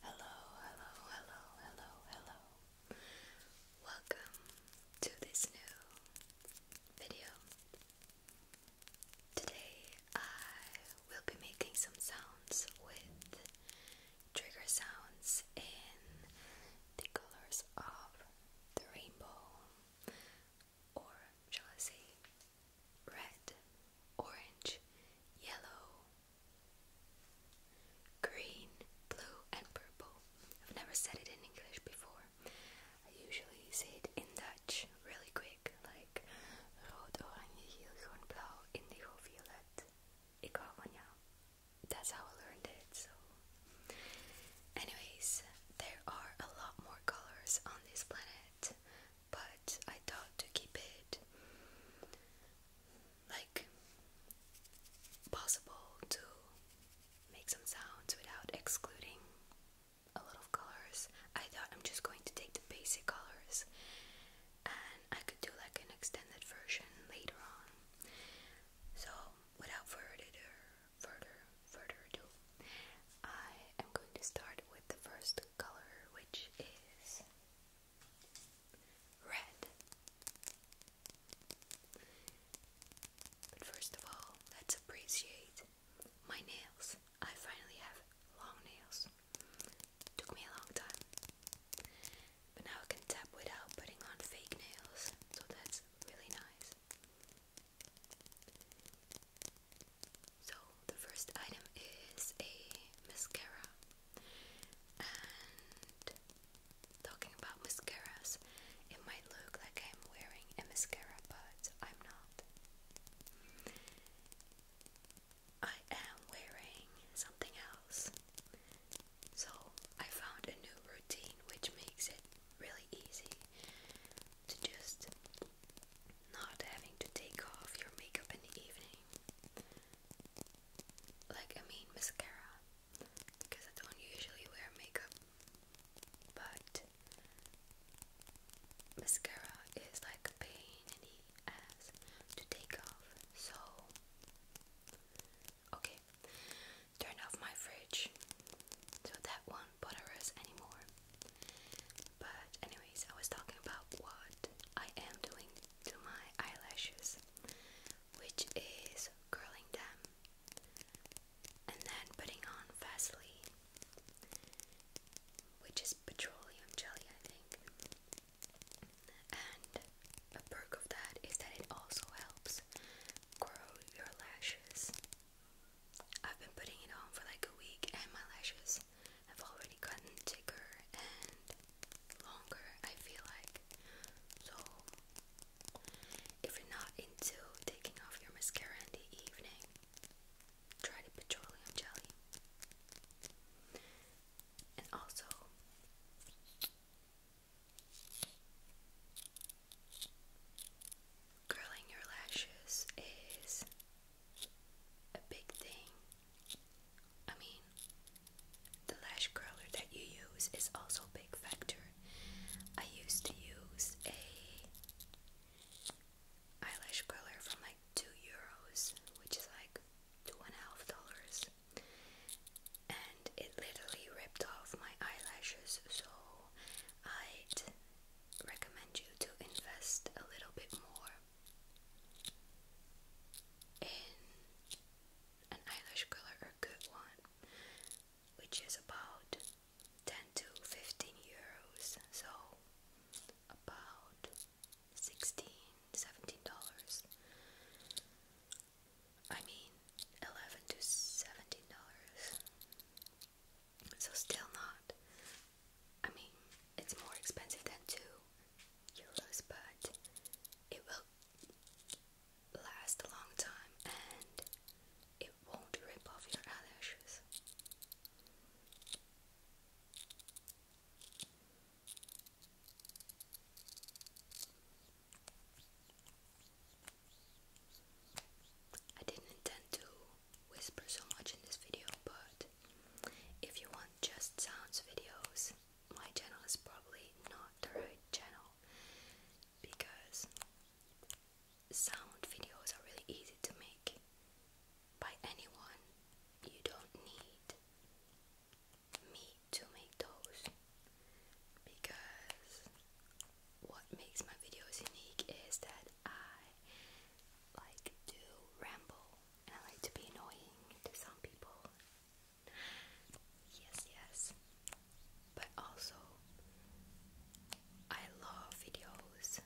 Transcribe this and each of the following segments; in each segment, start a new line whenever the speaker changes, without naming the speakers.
Hello, hello, hello, hello, hello. Welcome to this new video. Today I will be making some sounds with trigger sounds in the colors of the rainbow or shall I red, orange, yellow, green, blue, and purple. I've never said it in English before. I usually say it in Dutch really quick, like rood, oranje, geel, groen, blauw, indigo, violet. Ik hou van jou. That's how I learned it, so Anyways, there are a lot more colors on this planet, but I thought to keep it like possible to make some sounds without excluding a lot of colors. I thought I'm just going to take the basic colors and I could do like an extended version later on. So, without further ado, further further I am going to start with the first color, which is red. But first of all, let's appreciate my nails. I finally have long nails. Took me a long time. But now I can tap without putting on fake nails, so that's really nice. So the first item is a mascara. And talking about mascaras, it might look like I'm wearing a mascara, but I'm not. I am wearing something else. So I found a new which makes it really easy to just not having to take off your makeup in the evening. Like, I mean, mascara, because I don't usually wear makeup, but mascara is like pain in the ass to take off, so. Okay, turn off my fridge so that won't bother us anymore. But, anyways, I was talking about what I am doing to my eyelashes, which is curling them and then putting on Vaseline, which is petroleum jelly, I think. And a perk of that is that it also helps grow your lashes I've been putting it on for like a week and my lashes have already gotten thicker and longer, I feel like. So, if you're not into taking off your mascara in the evening, try the petroleum jelly. And also, Curling your lashes is a big thing. I mean, the lash curler that you use is also a big factor. I used to use a eyelash curler from like two euros, which is like two and a half dollars, and it literally ripped off my eyelashes, so I recommend you to invest a little bit more in an eyelash color or good one, which is about 10 to 15 euros, so about 16 dollars. I mean, 11 to 17 dollars. So still not. I mean, it's more expensive than two euros, but it will last a long time and it won't rip off your eyelashes. I didn't intend to whisper so much in this video, but if you want just sounds videos, my channel is probably not the right channel because sound videos are really easy to make by anyone. You don't need me to make those because what makes my videos unique is that I like to ramble and I like to be annoying to some people. Yes, yes. But also, I love videos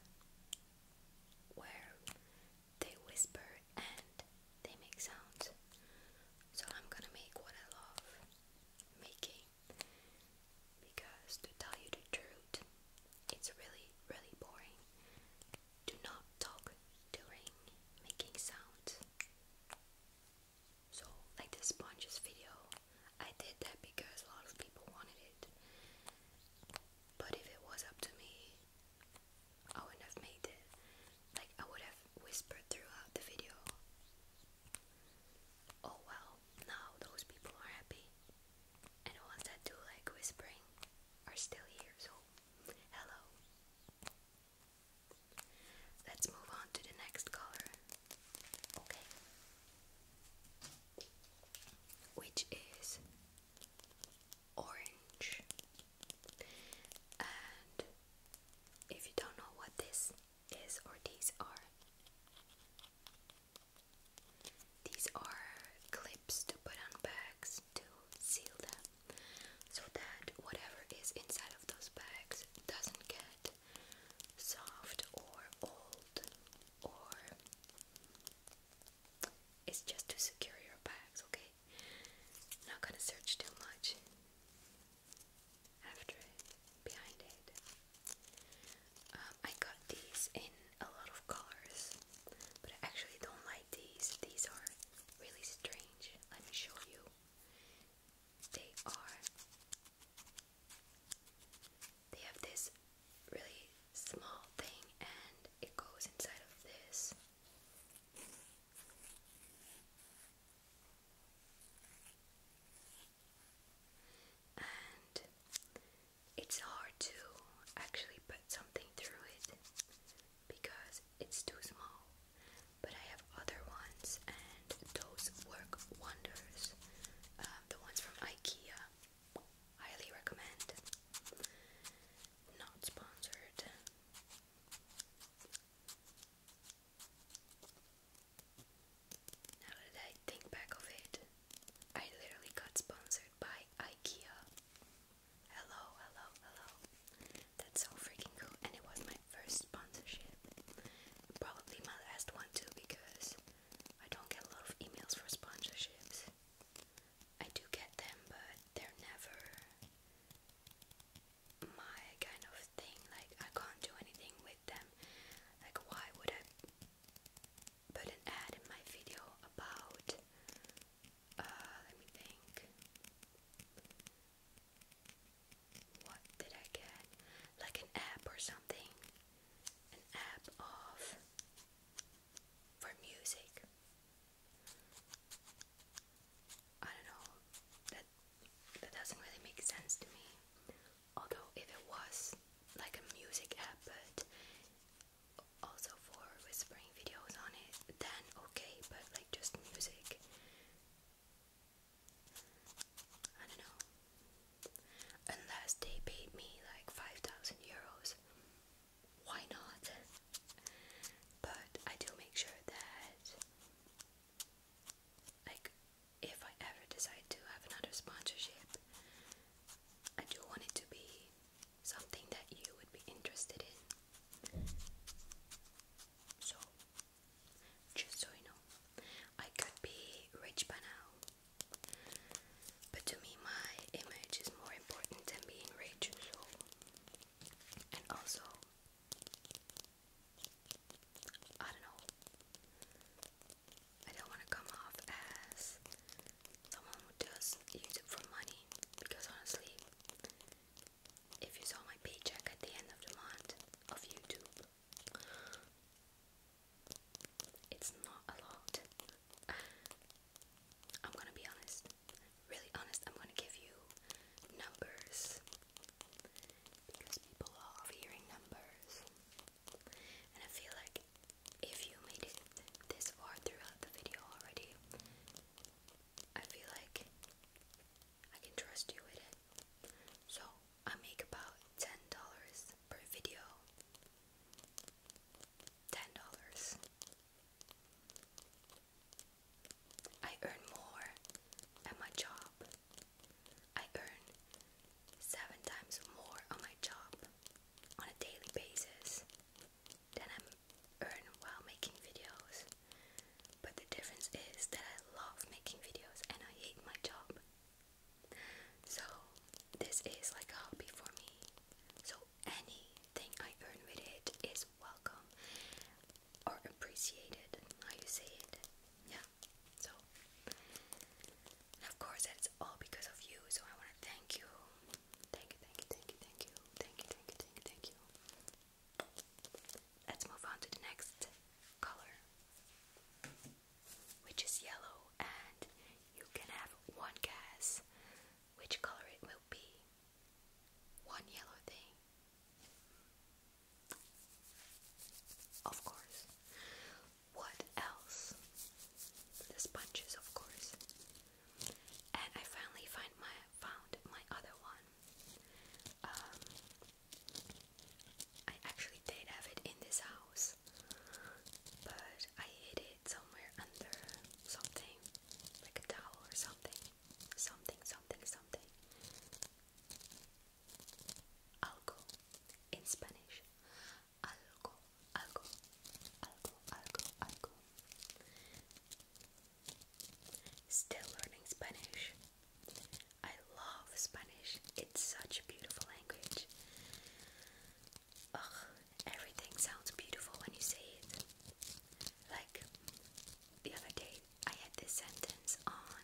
where they whisper and they make sounds. So I'm gonna make what I love making. Because to tell you the truth, it's really, really boring. Do not talk during making sounds. So, like this sponges video, I did that because a lot of people wanted it. But if it was up to me, I would have made it. Like, I would have whispered throughout the video. Oh well now those people are happy. And the ones that do like whispering are still here, so hello. Let's move on to the next color. Okay. Which is orange. And if you don't know what this is or these are, these are clips to put on bags to seal them so that whatever is inside of those bags doesn't get soft or old or it's just to secure your bags, okay? Not gonna search too much after it, behind it. Um, I got these in a lot of colors, but I actually don't like these. These are really strange. Let me show you. They are. They have this really small thing, and it goes inside of this and it's hard to actually put something through it because it's too small. But I have other ones, and those work wonders. Um, the ones from IKEA, highly recommend. Not sponsored. Now that I think back of it, I literally got sponsored by IKEA. Hello, hello, hello. That's so freaking cool, and it was my first sponsorship. Probably my last one too, because I don't get a lot of emails for sponsorships. I do get them, but they're never my kind of thing. Like, I can't do anything with them. Like, why would I put an ad in my video about uh, let me think what did I get? Like an app or something. An app of for music. I don't know. That that doesn't really make sense to me although if it was like a music app but also for whispering videos on it then okay but like just music I don't know unless they paid me like 5000 euros why not but I do make sure that like if I ever decide to have another sponsorship, I do want it to be something that you would be interested in. So, just so you know, I could be rich by now, but to me, my image is more important than being rich, so, and also. I don't know. I don't want to come off as someone who does YouTube for money because honestly, if you saw my paycheck at the end of the month of YouTube, it's not a lot. I'm gonna be honest, really honest, I'm gonna give you numbers because people love hearing numbers. And I feel like if you made it this far throughout the video already, I feel like I can trust you with it. So I make about ten dollars per video. Ten dollars. I earn more at my job. I earn seven times more on my job on a daily basis than I earn while making videos. But the difference is that I love making videos and I hate my job. So, this is like a hobby for me. So, anything I earn with it is welcome or appreciated. How you say it? Yeah. So, of course, that's all because of you, so I want to thank you. Thank you, thank you, thank you, thank you, thank you, thank you, thank you, thank you. Let's move on to the next color, which is yellow, and you can have one guess which color it will be. One yellow thing. Of course, what else? The sponges, of course. And I finally find my found my other one. Um, I actually did have it in this house, but I hid it somewhere under something, like a towel or something, something, something, something. Algo in Spanish algo, algo, algo, algo, algo. Still learning Spanish. I love Spanish. It's such a beautiful language. Ugh, everything sounds beautiful when you say it. Like the other day, I had this sentence on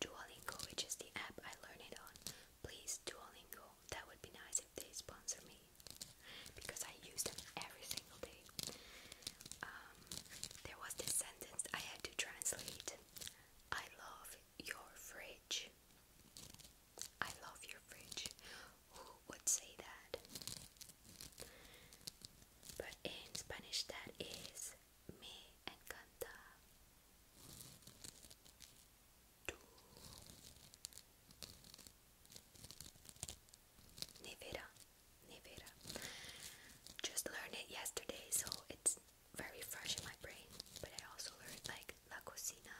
Duolingo, which is the app I learn it on. Please, Duolingo, that would be nice if they sponsor me because I use them every single day. Um, there was this sentence I had to translate I love your fridge. I love your fridge. Who would say that? But in Spanish, that is me encanta. Nevera, Nevera. Just learned it yesterday, so it's very fresh in my brain. But I also learned like la cocina,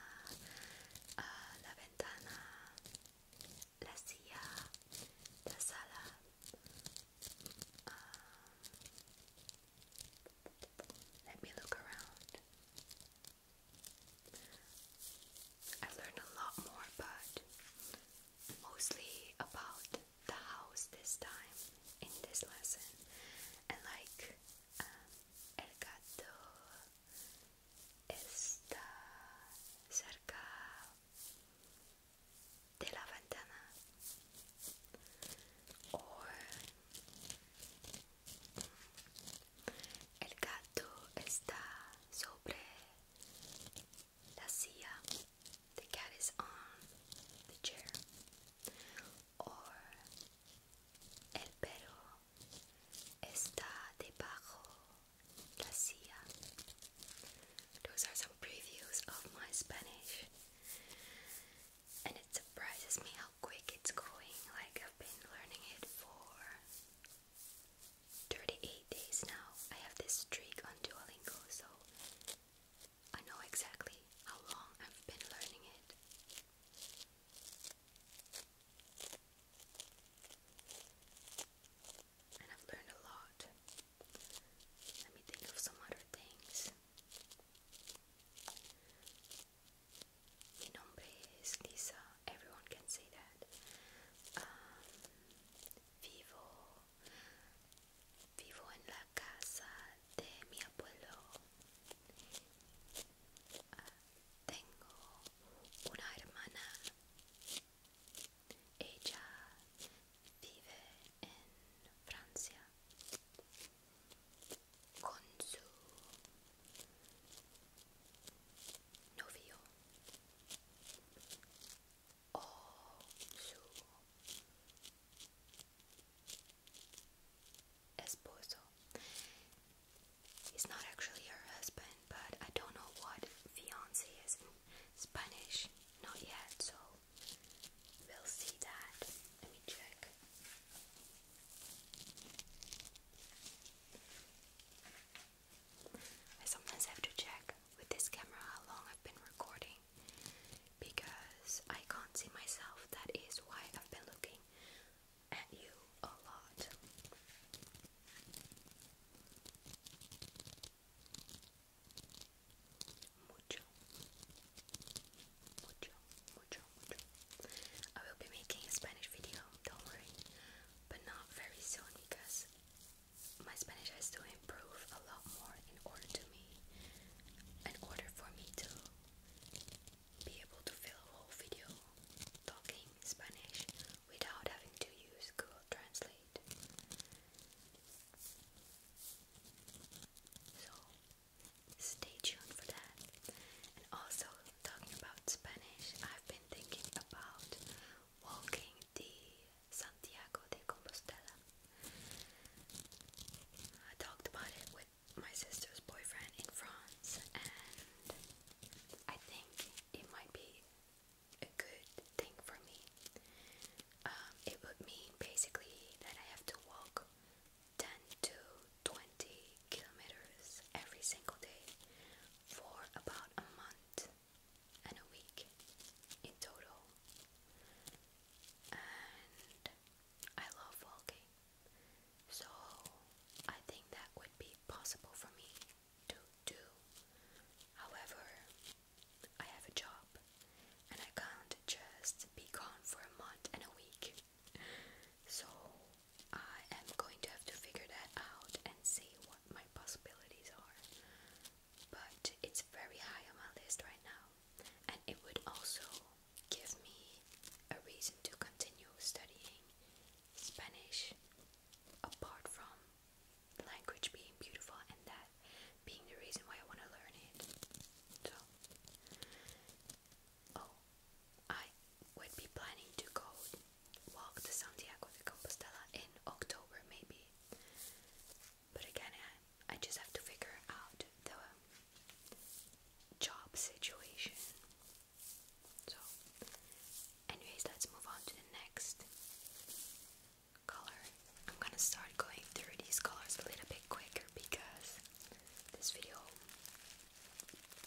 uh, la ventana, la silla, la sala. Um, let me look around. I've learned a lot more, but mostly about the house this time in this lesson, and like um, el gato está cerca de la ventana, El gato está sobre la silla. The cat is on the chair. Or el perro está debajo la silla. Those are some previews of my Spanish. And it surprises me how quick it's going. Like, I've been learning it for 38 days now. I have this streak on Duolingo, so I know exactly how long I've been learning it. And I've learned a lot. Let me think of some other things. Mi nombre es Lisa, everyone can say that. Um, vivo, vivo en la casa de mi abuelo. Ah, tengo una hermana. Ella vive en Francia. Konzu Novio Ozu Esposo. He's not actually her husband, but I don't know what fiance is in Spanish. Not yet, so we'll see that. Let me check. I sometimes have to check with this camera how long I've been recording because I can't see myself. That is why I've been looking at you a lot mucho, mucho, mucho. I will be making a Spanish video, don't worry, but not very soon because my Spanish has to improve a lot more in order to me, in order for me to be able to fill a whole video talking Spanish without having to use Google Translate. So Stay tuned for that. And also, talking about Spanish, I've been thinking about walking the Santiago de Compostela. I talked about it with my sister's boyfriend in France, and I think it might be a good thing for me. Um, it would mean basically that I have to walk 10 to 20 kilometers every single day for about a month and a week in total. And I love walking, so I think that would be possible for me to do. However, I have a job and I can't just be gone for a month and a week so I am going to have to figure that out and see what my possibilities are. But it's very high on my list right now, and it would also give me a reason to continue studying Spanish apart from language being beautiful and that being the reason why I want to learn it. So, Oh, I would be planning to go walk to Santiago de Compostela in October, maybe. But again, I just have to figure out the job situation. So, anyways, let's move on to the next color. I'm gonna start going through these colors a little bit quicker because this video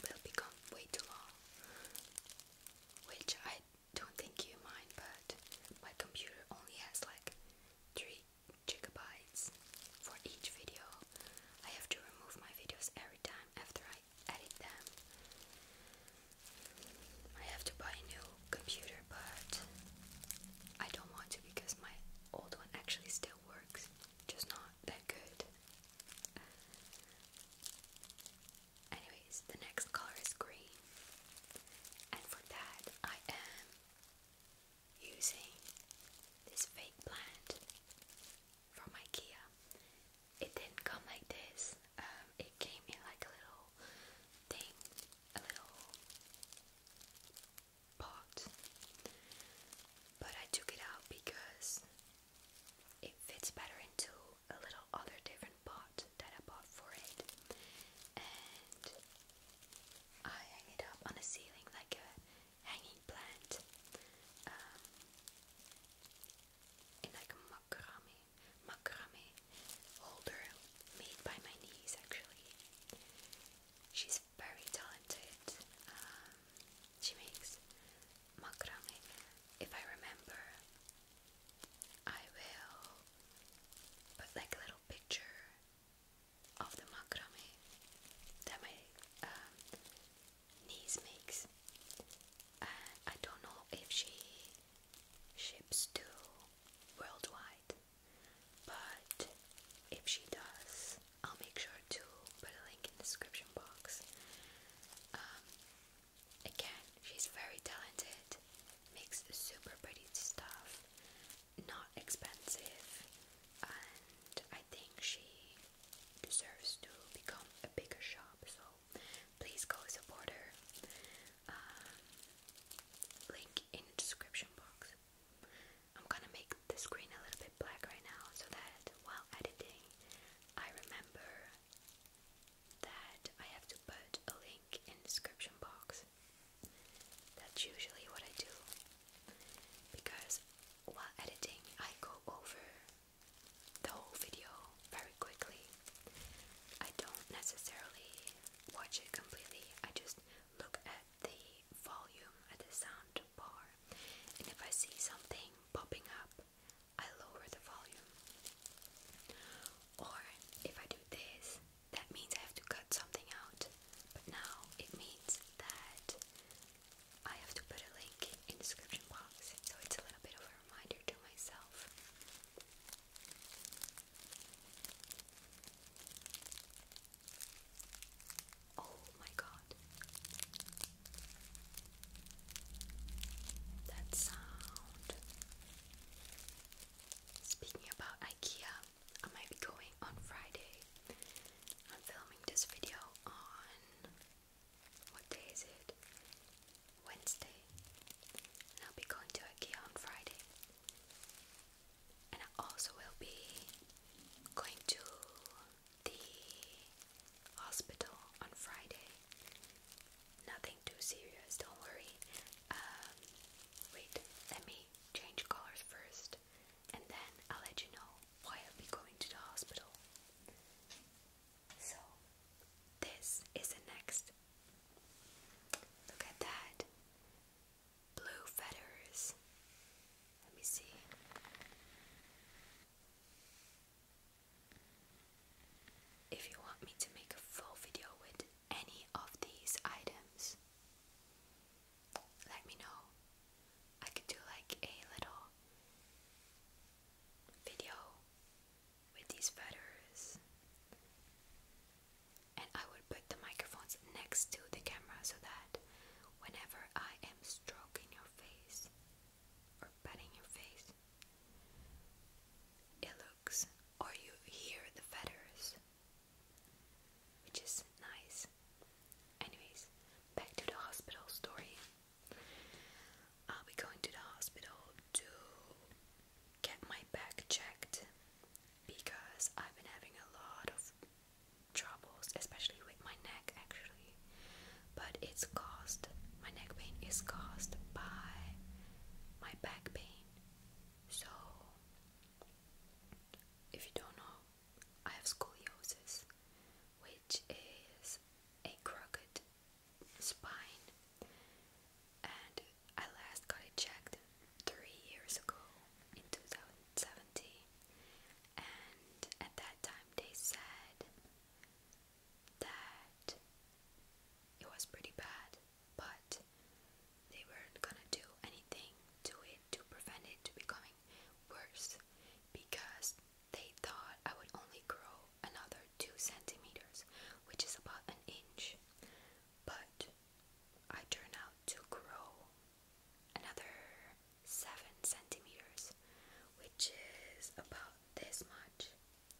will become way too long, which I don't think you mind, but my computer only has like 3 gigabytes for each video. I have to remove my videos every time after I edit them. I have to buy a new computer, but I don't want to because my old one actually still works, just not that good. Anyways, the next color is green, and for that, I am using this fake plant from IKEA. It didn't come like this, um, it came in like a little thing, a little pot, but I took it out because it fits better into a little other different pot that I bought for it, and I hang it up on a ceiling like a hanging plant, um, in like a macrame, macrame holder made by my niece actually. She's very talented. Um, she makes macrame. If I remember, I will put like a little picture of the macrame that my um, niece makes. I don't know if she ships to worldwide, but if she does, I'll make sure to put a link in the description box. Um, again, she's very talented, makes super pretty stuff, not expensive, and I think she deserves to become a bigger shop. So please go support her. Um, link in description box. I'm gonna make the screen a little bit black right now so that while editing, I remember that I have to put a link in description box. That's usually what I do because while editing, I go over the whole video very quickly. I don't necessarily watch it completely, I just look at the volume at the sound bar, and if I see something popping up, I lower the volume. Or if I do this, that means I have to cut something out. But now it means that I have to put a link in description box. So it's a little bit of a reminder to myself. Oh my god. That sound. Speaking about IKEA, I might be going on Friday. I'm filming this video on what day is it? Wednesday. And I'll be going to IKEA on Friday. And I also will be going to the hospital on Friday. Nothing too serious, don't worry. Um, wait, let me change colors first, and then I'll let you know why I'll be going to the hospital. So, this is the next. Look at that. Blue feathers. Let me see. If you want me to make a full video with any of these items, let me know. I could do like a little video with these feathers, and I would put the microphones next to the camera so that whenever I am stroking your face, or patting your face. It looks, or you hear the feathers, which is nice. Anyways, back to the hospital story. I'll be going to the hospital to get my back checked because I've been having a lot of troubles, especially my neck actually, but it's caused, my neck pain is caused by my back pain. So, if you don't know, I have scoliosis, which is a crooked spine, and I last got it checked three years ago in 2017. And at that time, they said that it was pretty bad, but they weren't gonna do anything to it to prevent it to becoming worse because they thought I would only grow another two centimeters, which is about an inch, but I turned out to grow another centimeters, which is about this much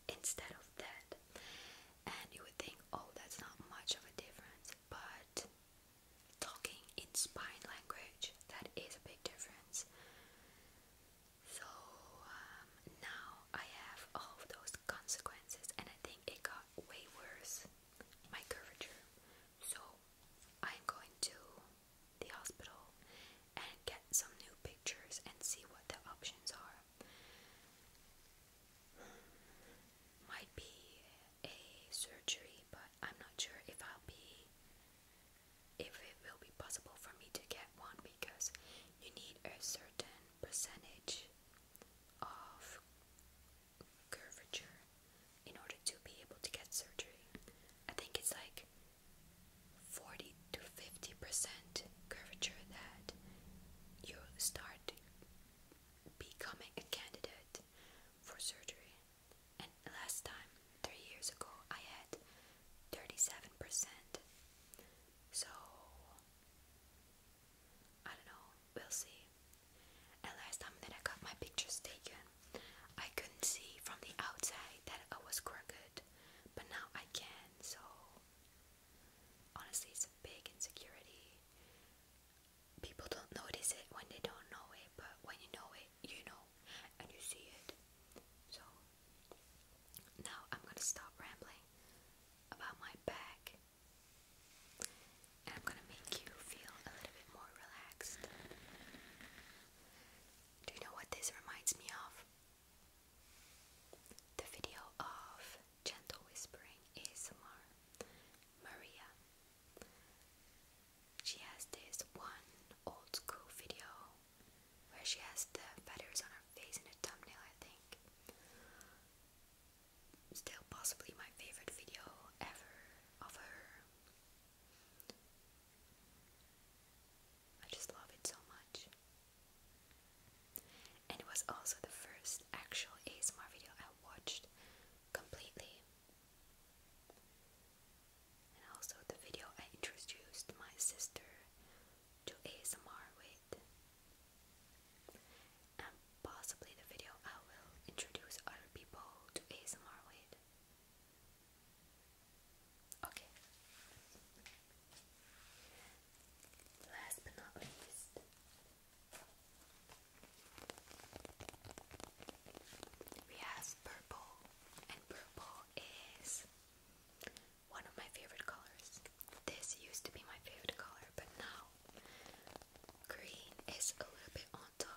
instead of that. And you would think, oh, that's not much of a difference, but talking in spine language, that is a big difference. So um, now I have all those consequences, and I think it got way worse my curvature. So I'm going to the hospital and get some new pictures and see what the options are. Might be a surgery, but I'm not sure if I'll be if it will be possible for me to get one because you need a certain percentage of curvature in order to be able to get surgery. I think it's like 40 to 50 percent curvature that you start becoming a candidate for surgery. And last time, three years ago, I had 37 percent. So I don't know, we'll see. And last time that I got my pictures taken, I couldn't see from the outside that I was crooked, but now I can, so honestly, it's a big insecurity. People don't notice it when they don't know it, but when you know it, you know, and you see it. So now I'm gonna stop rambling about my back. And I'm gonna make you feel a little bit more relaxed. Do you know what this reminds me of? The video of Gentle Whispering ASMR Maria. She has this one old school video where she has the feathers on her face in a thumbnail, I think. Still possibly my favorite video ever of her. I just love it so much. And it was also the first actual ASMR video I watched completely. And also the video I introduced my sister to ASMR with. And possibly the video I will introduce other people to ASMR with. Okay. Last but not least, we have purple, and purple is one of my favorite colors. This used to be my favorite color, but now green is a little bit on top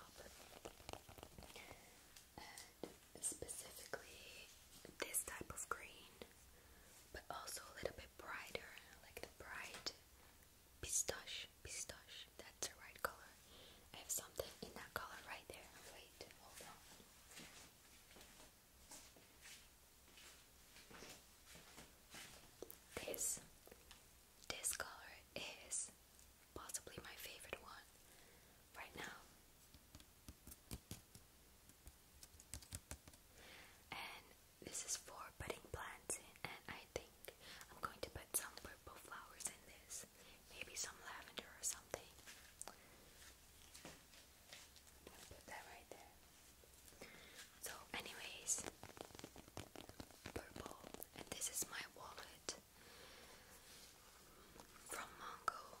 specifically this type of green, but also a little bit brighter, like the bright pistache. Pistache, that's the right color. I have something in that color right there. Wait, hold on. This this color is possibly my favorite one right now. And this is for putting plants, and I think I'm going to put some purple flowers in this, maybe some lavender or something. put that right there. So, anyways, purple, and this is my wallet from Mongo.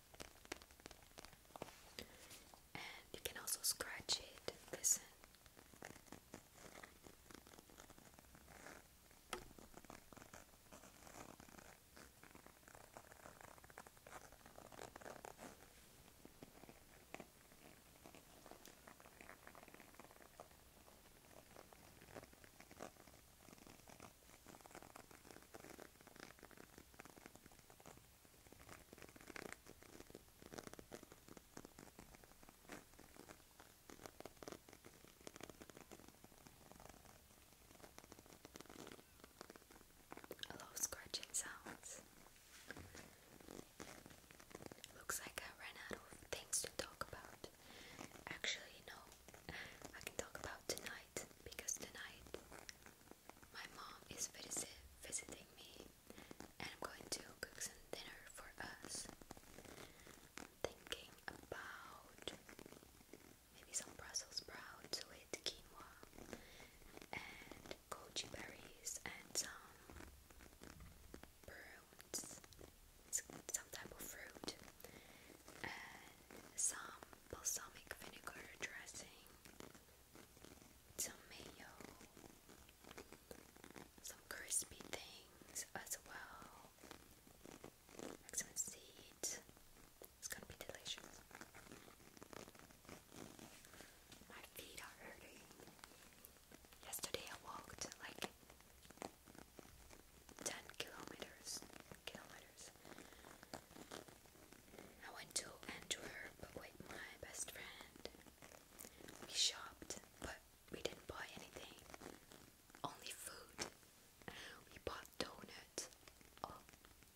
And you can also scratch it, listen. I love scratching sounds. Looks like I ran out of things to talk about. Actually, no, I can talk about tonight because tonight my mom is visit visiting me, and I'm going to cook some dinner for us. I'm thinking about maybe some Brussels sprouts with quinoa and goji berries and some prunes, some type of fruit, and some balsamic vinegar dressing, some mayo, some crispy things as well, like seeds. It's gonna be delicious. My feet are hurting. Yesterday I walked like 10 kilometers kilometers. I went to Antwerp with my best friend. We shopped, but we didn't buy anything. Only food. We bought donuts. Oh,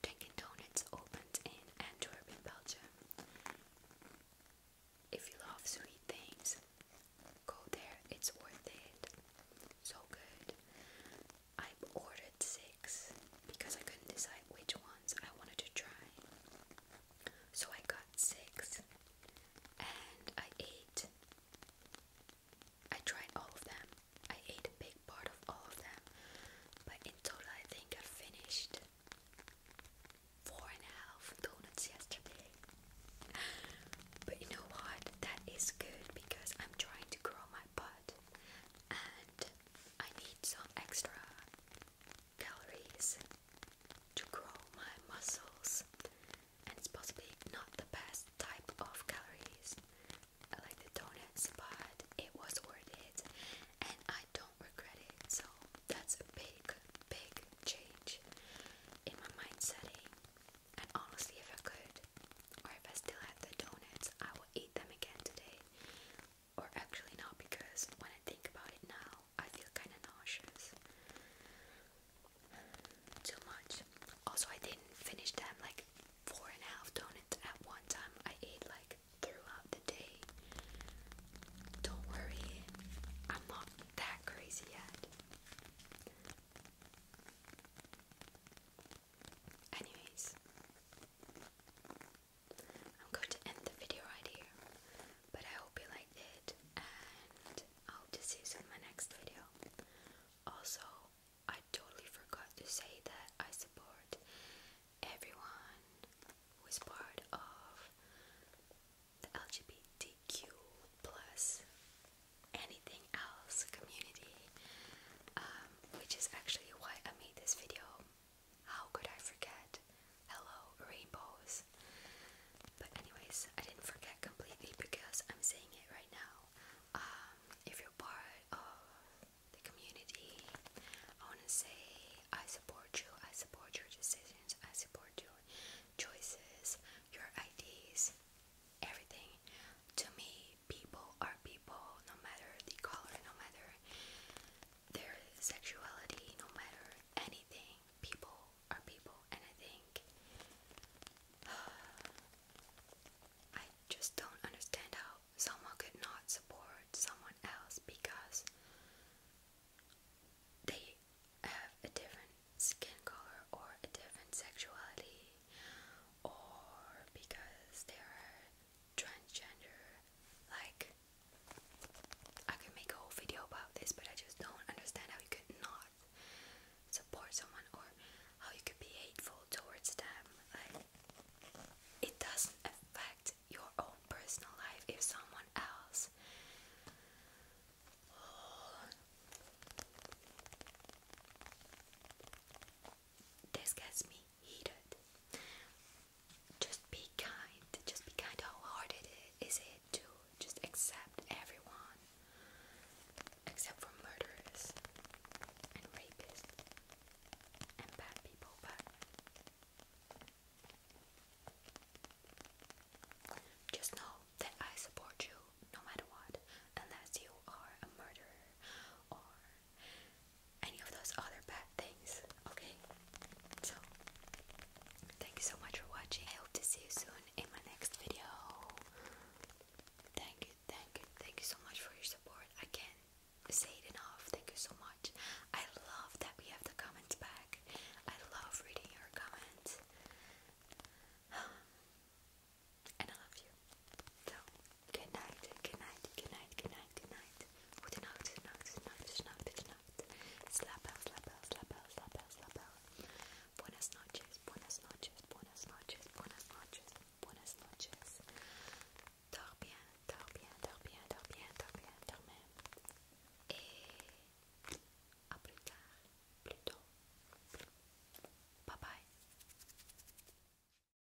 Dunkin' Donuts opened in Antwerp in Belgium. If you love sweet things, go there. It's worth it. So good. I have ordered six because I couldn't decide which ones I wanted to try. So I got six and I ate. I tried all of them. I ate a big part of all of them. But in total, I think I finished four and a half donuts yesterday. But you know what? That is good because I'm trying to grow my butt and I need some extra calories to grow my muscles, and it's possibly not the best type of calories. I like the donuts, but it was worth it, and I don't regret it. So that's a big, big change in my mind setting. And honestly, if I could if I still had the donuts, I will eat them again today. Or actually, not because when I think about it now, I feel kind of nauseous. Too much. Also, I didn't finish them like four and a half donuts at one time. I ate like throughout the day. Don't worry, I'm not that crazy yet. Anyways, I'm going to end the video right here. But I hope you liked it, and I hope to see you in my next video. Also, I totally forgot to say that I support everyone who is part of the LGBTQ plus anything else community. Uh, um, which is actually why I made this video. How could I forget? Hello, rainbows. But anyways, I didn't forget completely because I'm saying it right now. Um, if you're part of the community, I wanna say I support you. I support your decisions. I support your choices, your ideas, everything. To me, people are people no matter the color, no matter their sexuality, no matter anything. People are people, and I think uh, I just don't understand how someone could not support someone else because they have a different skin color or a different sexuality or because they're transgender, like I could make a whole video about this, but I just don't understand how you could not support someone or how you could be hateful towards them. Like it doesn't affect your own personal life if someone else this gets me heated. Just be kind. Just be kind. How hard it is, is it to just accept everyone, except for murderers and rapists and bad people, but. Just know that I support you no matter what, unless you are a murderer or any of those other bad things, okay? So, thank you so much for watching. I hope to see you soon in my next video. Thank you, thank you, thank you so much for your support. I can't say it enough. Thank you so much. I love that we have the comments back. I love reading your comments. And I love you. So, Good night, good night, good night, good night, good night. Good night, good night, good night, good night, good night. Slap out, slap out, slap out, slap out, slap out. Buenas noches, buenas noches, buenas noches, buenas noches, buenas noches. Dors bien, dors bien, dors bien, dors bien, dors bien, dors bien. Et eh, à plus tard, plus tôt. Bye bye.